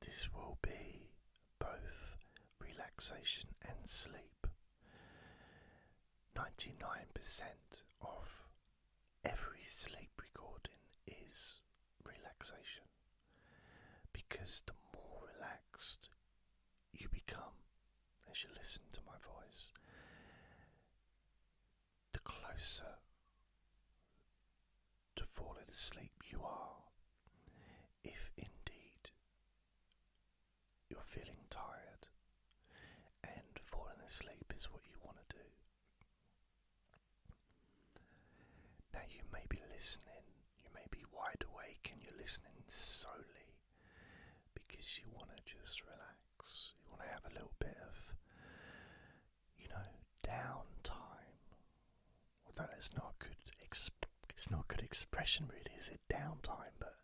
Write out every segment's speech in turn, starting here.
this will be both relaxation and sleep. 99% of every sleep recording is relaxation because the more relaxed you become as you listen to my voice, the closer to falling asleep you are, if indeed you're feeling tired and falling asleep is what you want to do. Now, you may be listening, you may be wide awake, and you're listening solely because you want to just relax, you want to have a little bit of you know, downtime. Although that's not good it's not a good expression really, is it? Downtime, but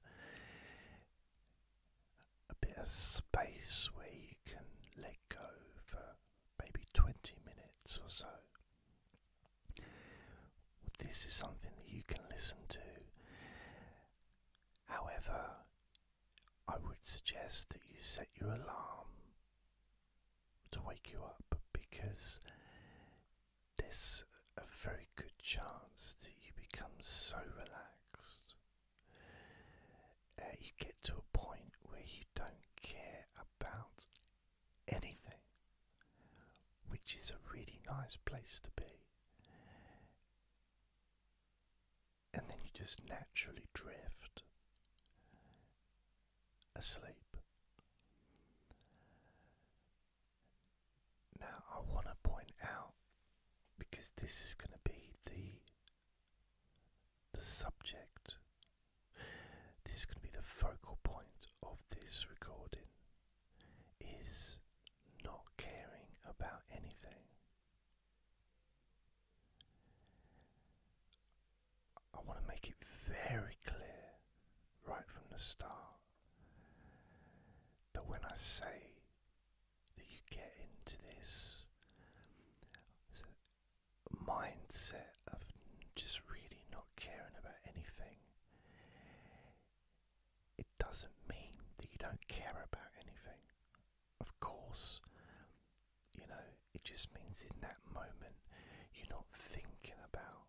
a bit of space where you can let go for maybe 20 minutes or so. This is something that you can listen to. However, I would suggest that you set your alarm to wake you up because there's a very good chance that you become so relaxed. Uh, you get to a point where you don't care about anything, which is a really nice place to be. And then you just naturally drift asleep. Now, I want to point out because this is going to be the the subject. This is going to be the focal point of this recording. Is not caring about anything. I want to make it very clear right from the start that when I say that you get into this mindset of just really not caring about anything, it doesn't mean that you don't care about anything. Of course, you know, it just means in that moment you're not thinking about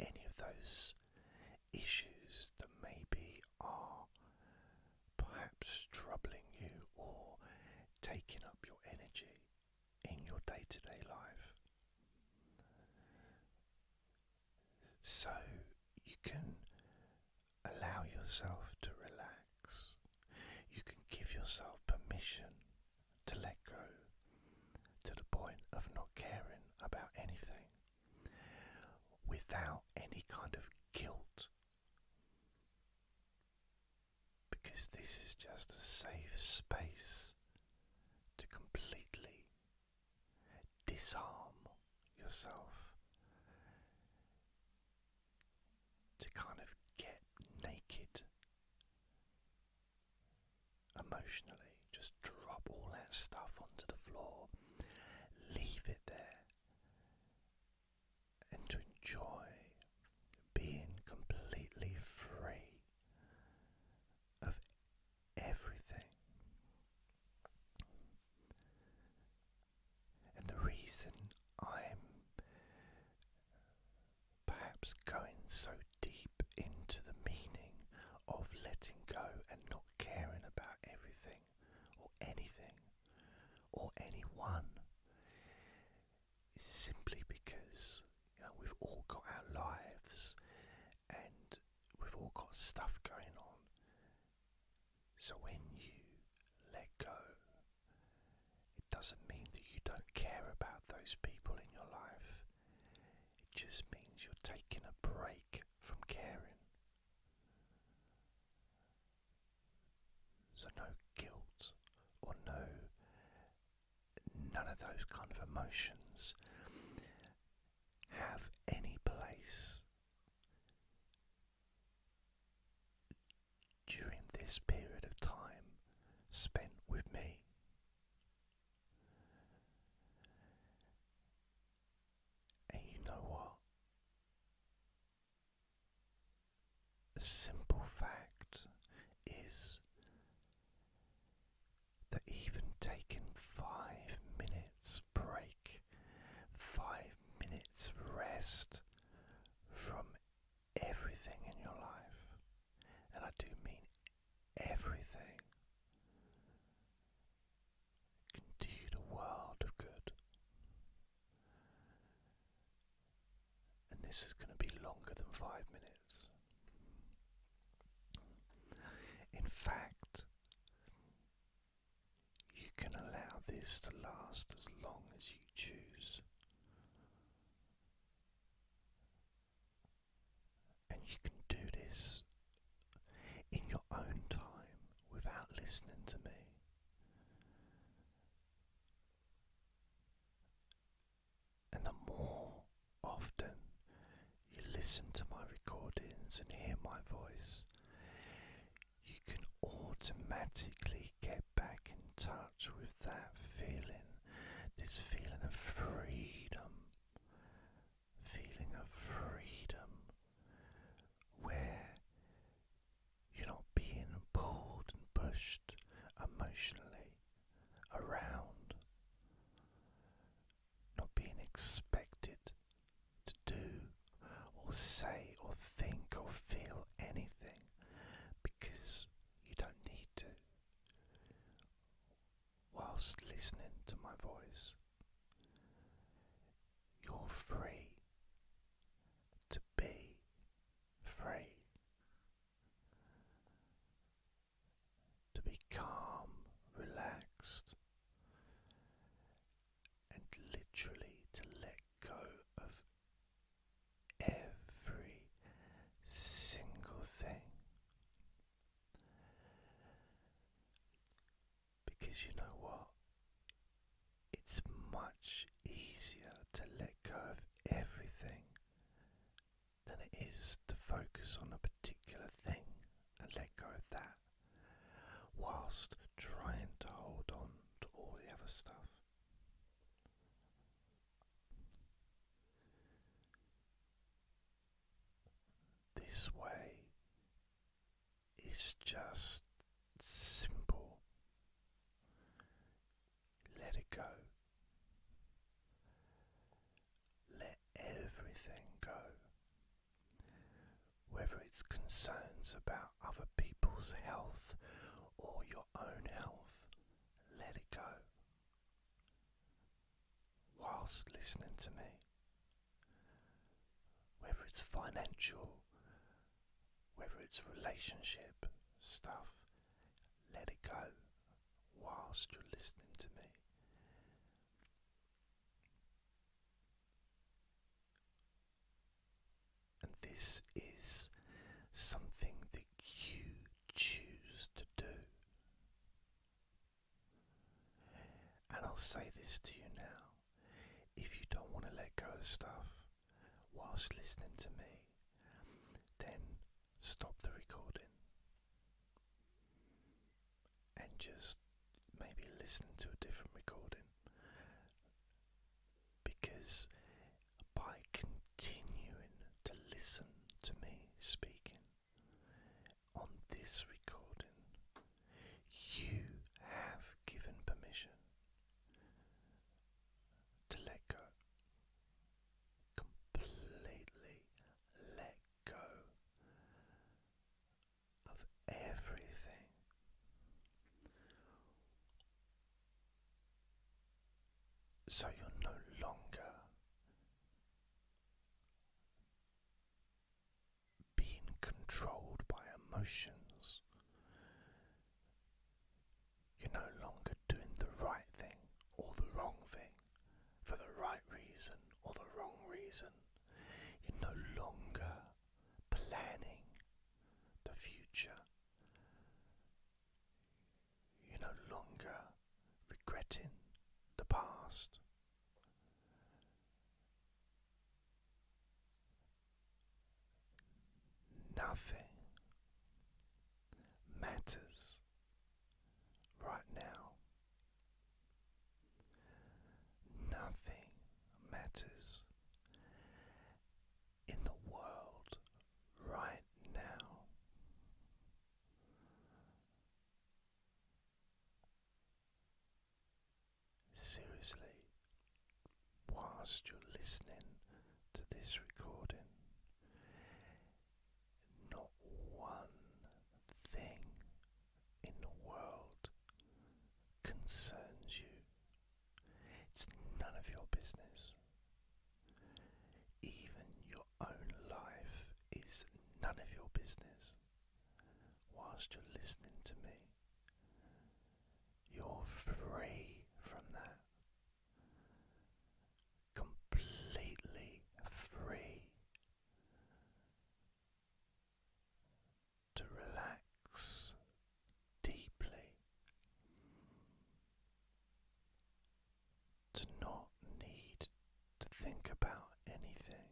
any of those issues that maybe are perhaps troubling you or taking up your energy in your day to day life. So you can allow yourself to relax. You can give yourself permission to let go to the point of not caring about anything without any kind of guilt. Because this is just a safe space to completely disarm yourself to kind of get naked emotionally, just drop all that stuff onto the floor, leave it there, and to enjoy being completely free of everything. And the reason I'm perhaps going so deep into the meaning of letting go and not caring about everything or anything or anyone is simply because you know we've all got our lives and we've all got stuff going on. So when you let go it doesn't mean that you don't care about those people in your life, it just means you're taking a break from caring. So, no guilt or no, none of those kind of emotions have any place during this period of time spent with me. And you know what? simple fact is that even taking five minutes break, five minutes rest from everything in your life, and I do mean everything, can do the world of good. And this is going to be longer than five minutes. In fact, you can allow this to last as long as you choose. And you can do this in your own time without listening to me. And the more often you listen to my recordings and hear my voice, you can automatically get back in touch with that feeling, this feeling of freedom, feeling of freedom where you're not being pulled and pushed emotionally around, not being expected to do or say or think or feel anything because you don't need to. Whilst listening to my voice, you're free to be free, to be calm, relaxed, and literally to let go of every single thing. Because you know what? It's much easier to let go of everything than it is to focus on a particular thing and let go of that whilst trying to hold on to all the other stuff. This way is just simple. Let it go. Let everything go. Whether it's concerns about other people's health or your own health, let it go. Whilst listening to me, whether it's financial, whether it's relationship stuff, let it go whilst you're listening to me. And this is something that you choose to do. And I'll say this to you now if you don't want to let go of stuff whilst listening to me, then stop the recording and just maybe listen to a different recording because by continuing to listen to me speaking on this recording, you have given permission to let go. Completely let go of everything. So you're no longer being controlled by emotions. You're no longer doing the right thing or the wrong thing for the right reason or the wrong reason. You're no longer planning the future you're no longer regretting the past. Nothing matters right now. Nothing matters in the world right now. Seriously, whilst you're listening to this recording, not one thing in the world concerns you it's none of your business. Even your own life is none of your business. Whilst you're listening to me, you're free from that. Completely free to relax deeply, to not need to think about anything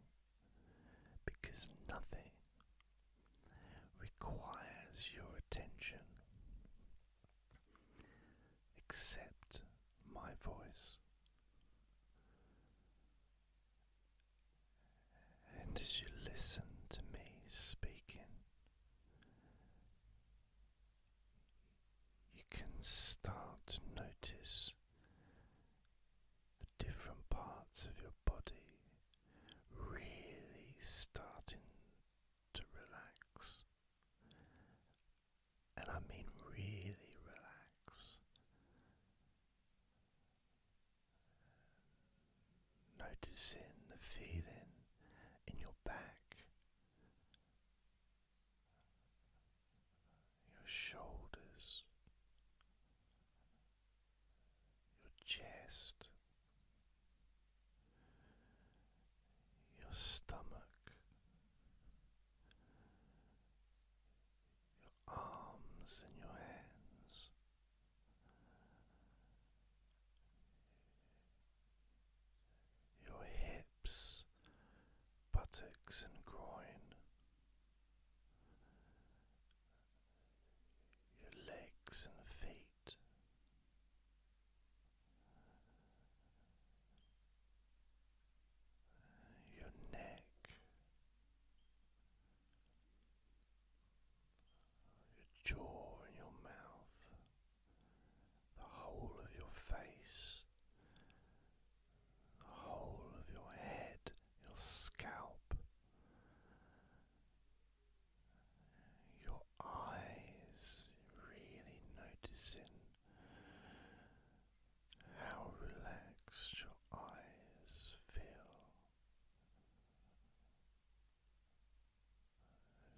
because nothing requires your attention except my voice. And as you listen to me speaking, you can start to notice the different parts of your body really starting to relax. And I mean, really relax. Noticing the feeling in your back, your shoulders, your chest, your stomach, your arms and your hands your hips, buttocks, and groin, your legs and feet. Your neck, your jaw and your mouth, the whole of your face, the whole of your head, your scalp, your eyes, really noticing how relaxed your eyes feel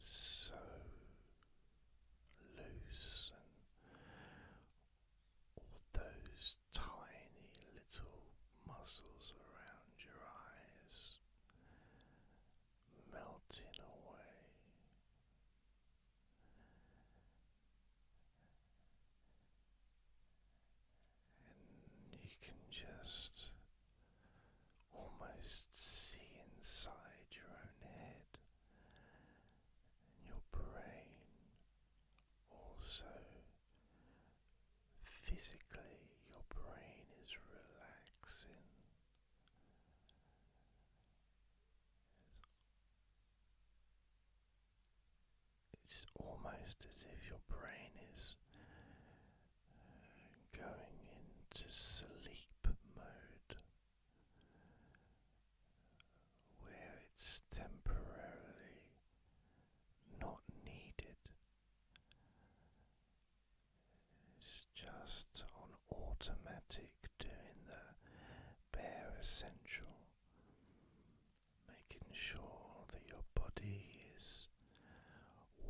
so loose, and all those tiny little muscles around your eyes melting away and you can just almost see inside your own head and your brain also physically your brain is relaxing it's almost as if your brain is going into sleep mode where it's temporarily not needed. It's just on automatic doing the bare essential, making sure that your body is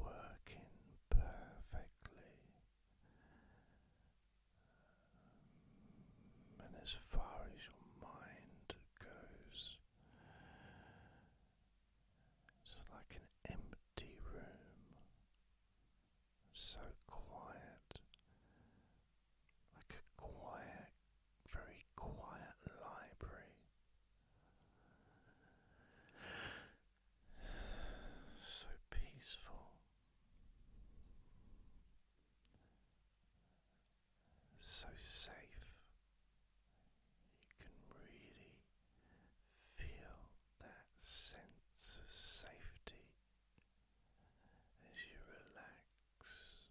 working perfectly. Um, and as far as your mind goes, it's like an empty room, so quiet, like a quiet, very quiet library so peaceful, so safe. You can really feel that sense of safety as you relax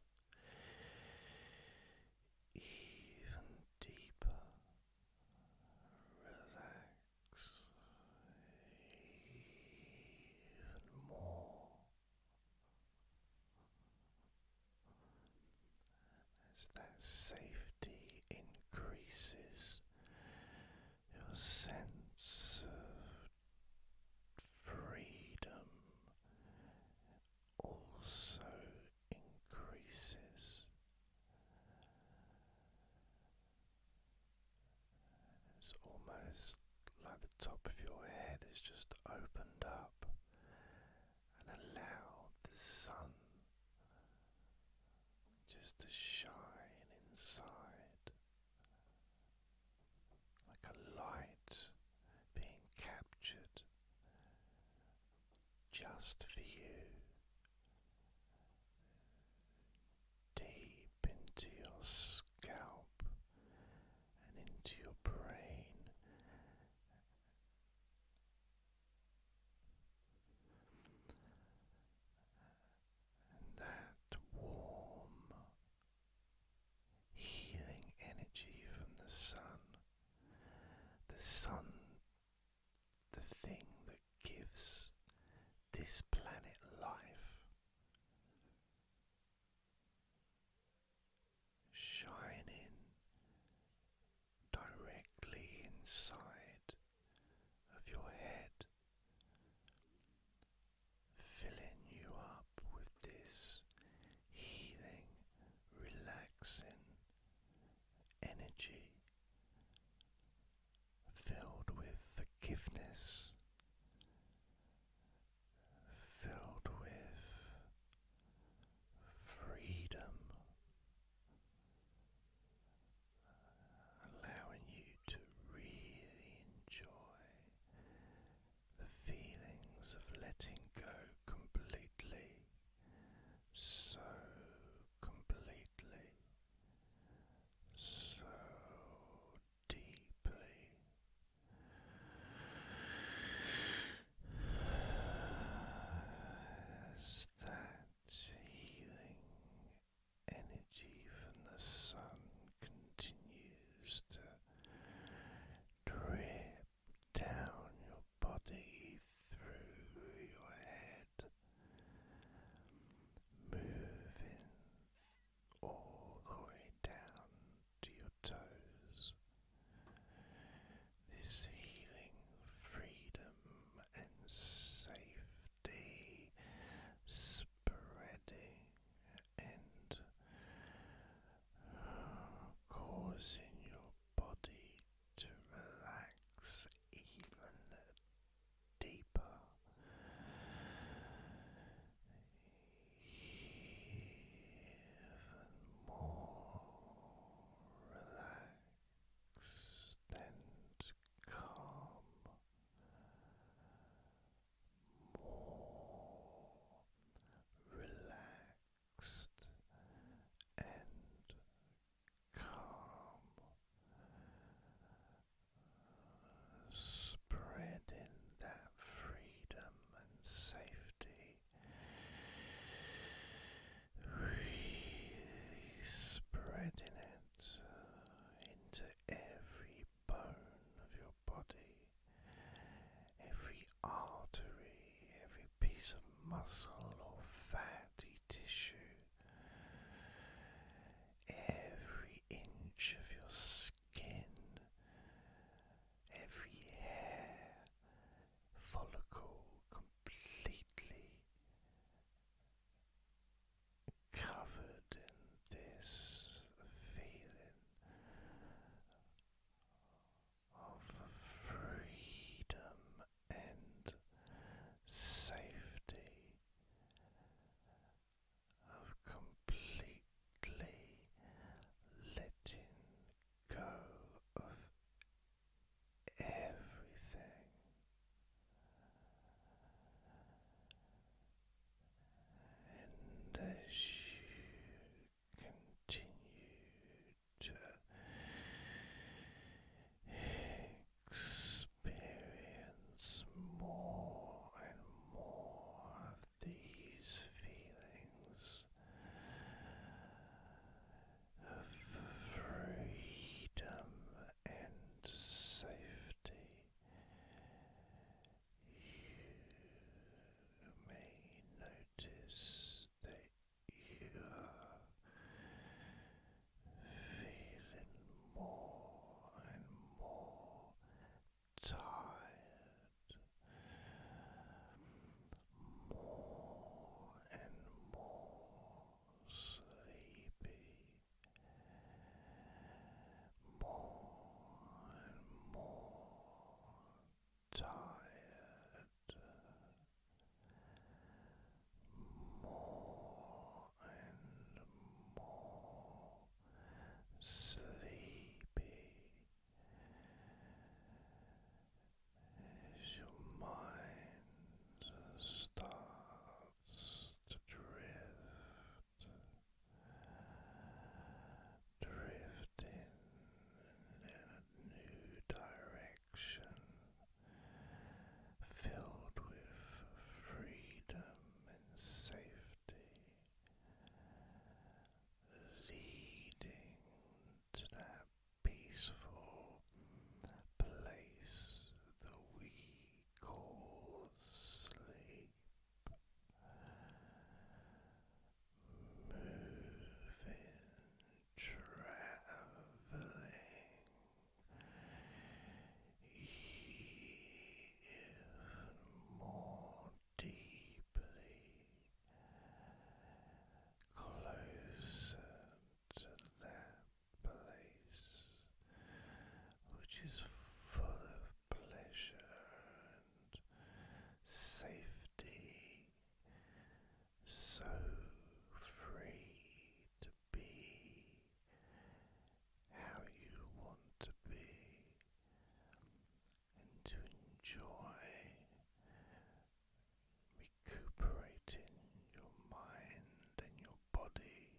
even deeper relax even more as that safety increases your sense of freedom also increases it's almost like the top of your head is just opened up and allowed the sun just to shine inside like a light being captured just for you, deep into your scalp and into your brain. And that warm, healing energy from the sun, the sun the thing that gives this planet life. Shining directly inside of your head, filling you up with this healing, relaxing energy filled with forgiveness, filled with freedom, allowing you to really enjoy the feelings of letting go completely so completely, so deeply. As that healing energy from the sun continues to drip down your body through your head, moving all the way down to your toes. This healing freedom and safety spreading and causing your body to relax even deeper. Even more relaxed and calm, more relaxed and calm, spreading that freedom and safety, really spreading it into every bone of your body. Every artery, every piece of muscle or fat tissue, every inch of your skin, every hair follicle completely covered in this feeling of freedom and safety, of completely letting go of everything. And as you continue to experience more and more of these feelings of freedom and safety. You may notice that feeling more and more tired, more and more sleepy, more and more tired more and more sleepy your mind starts to drift, drifting new direction filled with freedom and safety, leading to that peaceful place that we call sleep. Moving traveling even more deeply closer to that place which is full of pleasure and safety so free to be how you want to be and to enjoy recuperating your mind and your body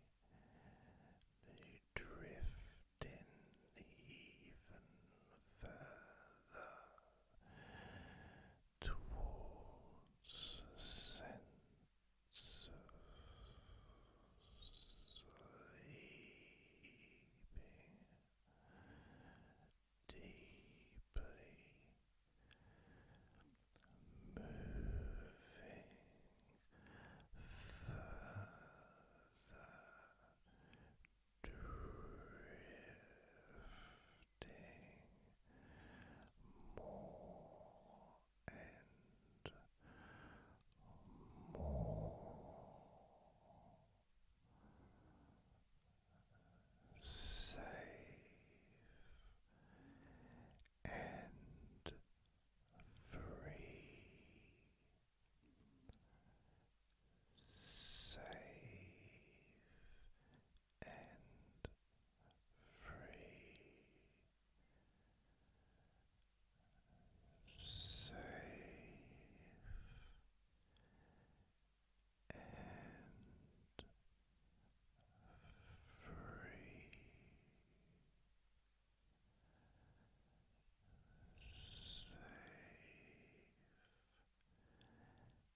that drift in even further towards a sense deeply moving further drifting more and more safe and free safe and free. Safe and free, safe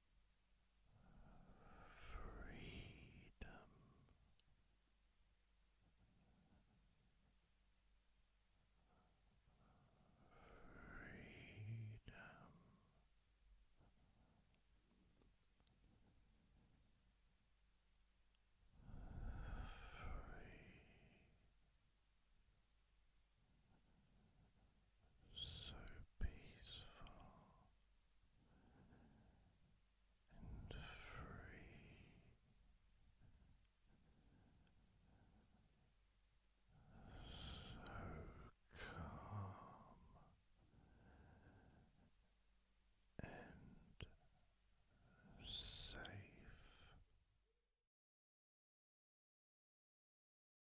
freedom. Freedom. Free so peaceful and free. So calm and safe.